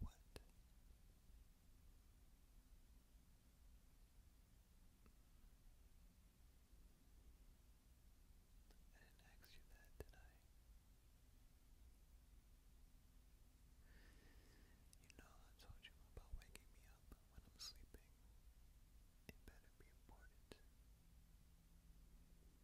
What? I didn't ask you that, did I? You know I told you about waking me up when I'm sleeping. It better be important.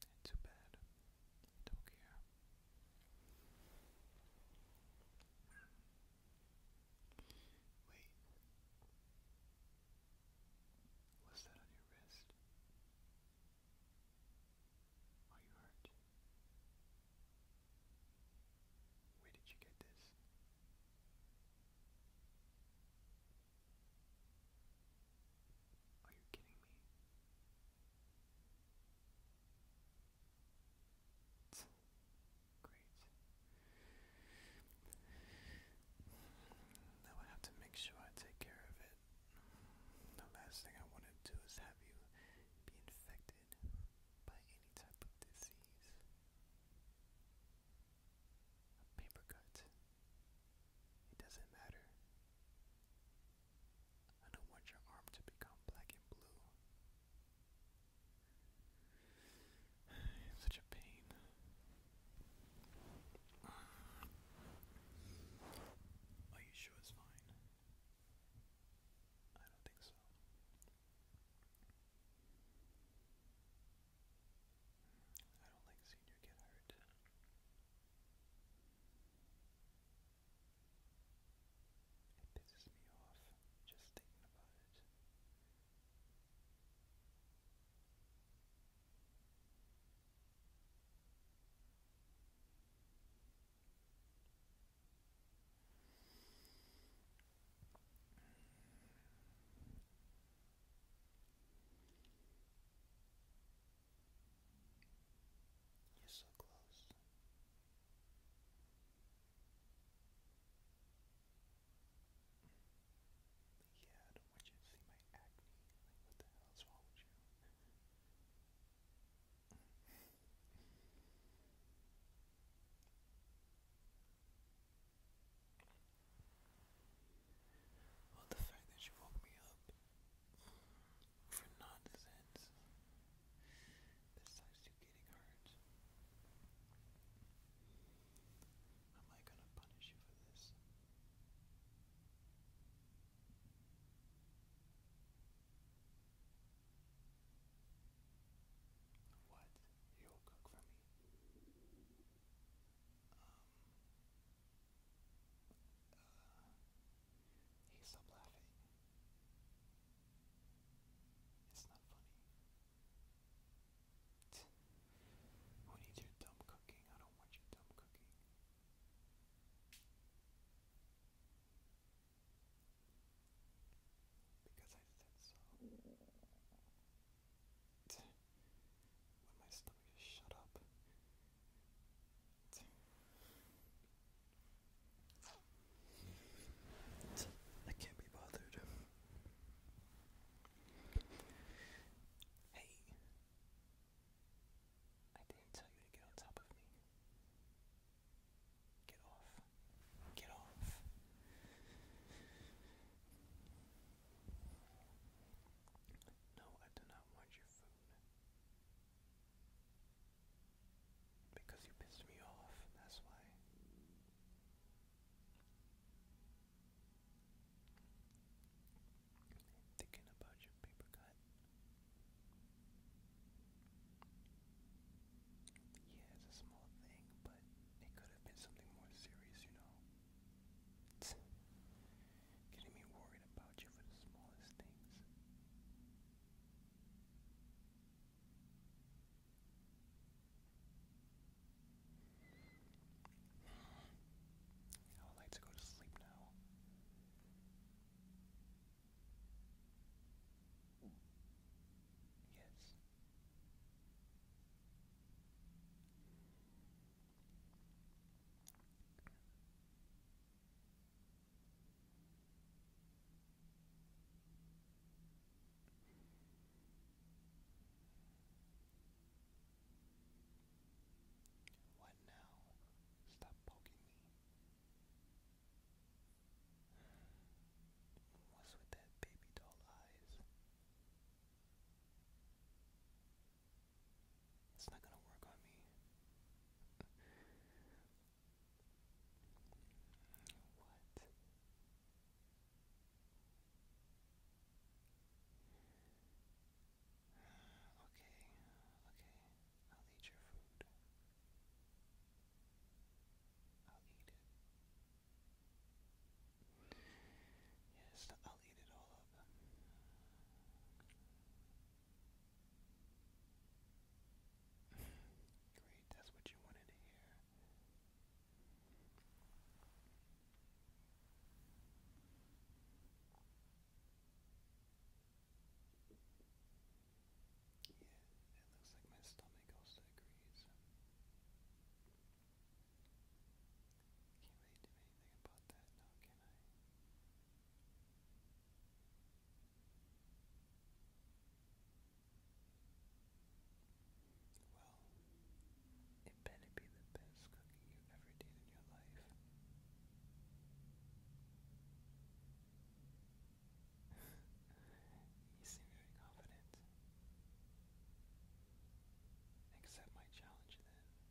It's too bad. don't care. Wait. What's that on your wrist? Are you hurt? Where did you get this? Are you kidding me? Great. Now I have to make sure I take care of it. The last thing I want to do is have you be infected affected by any type of disease. A paper cut. It doesn't matter. I don't want your arm to become black and blue. such a pain. Are you sure it's fine? I don't think so. I don't like senior get hurt. It pisses me off just thinking about it. You're so close. Yeah, I don't want you to see my acne. Like, what the hell is wrong you? Well, the fact that you woke me up for nonsense besides you getting hurt. Am I gonna punish you for this? What you will cook for me? he stopped laughing. It's not funny. Tch. We your dumb cooking. I don't want your dumb cooking. Because I said so. When my stomach shut up. I can't be bothered. Hey, I didn't tell you to get on top of me. Get off. Get off. No, I do not want your food. Because you pissed me off, that's why. Thinking about your paper cut. Yeah, it's a small thing, but it could have been something more serious, you know. getting me worried about you for the smallest things. I would like to go to sleep now. Yes. What now? Stop poking me. What's with that baby doll eyes? It's not gonna work on me. What? Okay, okay, I'll eat your food. I'll eat it. Yes, I'll eat it all up. Great, that's what you wanted to hear. Yeah, it looks like my stomach also agrees. Can't really anything about that now, can I? Well, it better be the best cookie you ever did in your life. you seem very confident. Accept my challenge then.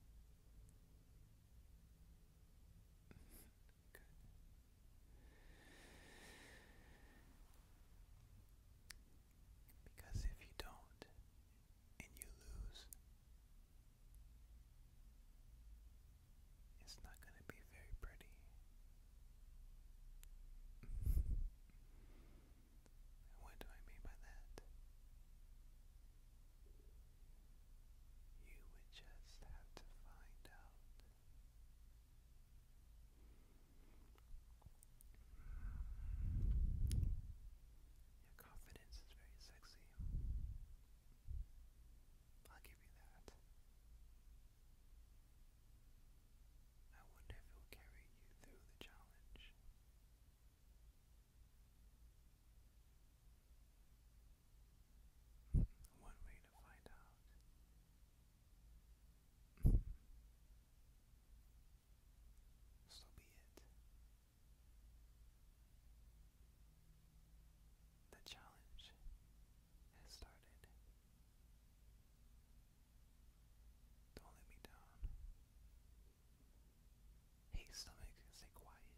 Good. Because if you don't and you lose, it's not going to be very pretty. what do I mean by that? You would just have to find out your confidence is very sexy. I'll give you that. I wonder if it will carry you through the challenge. One way to find out. So be it. The challenge has started. Don't let me down. Hey, stomach, stay quiet.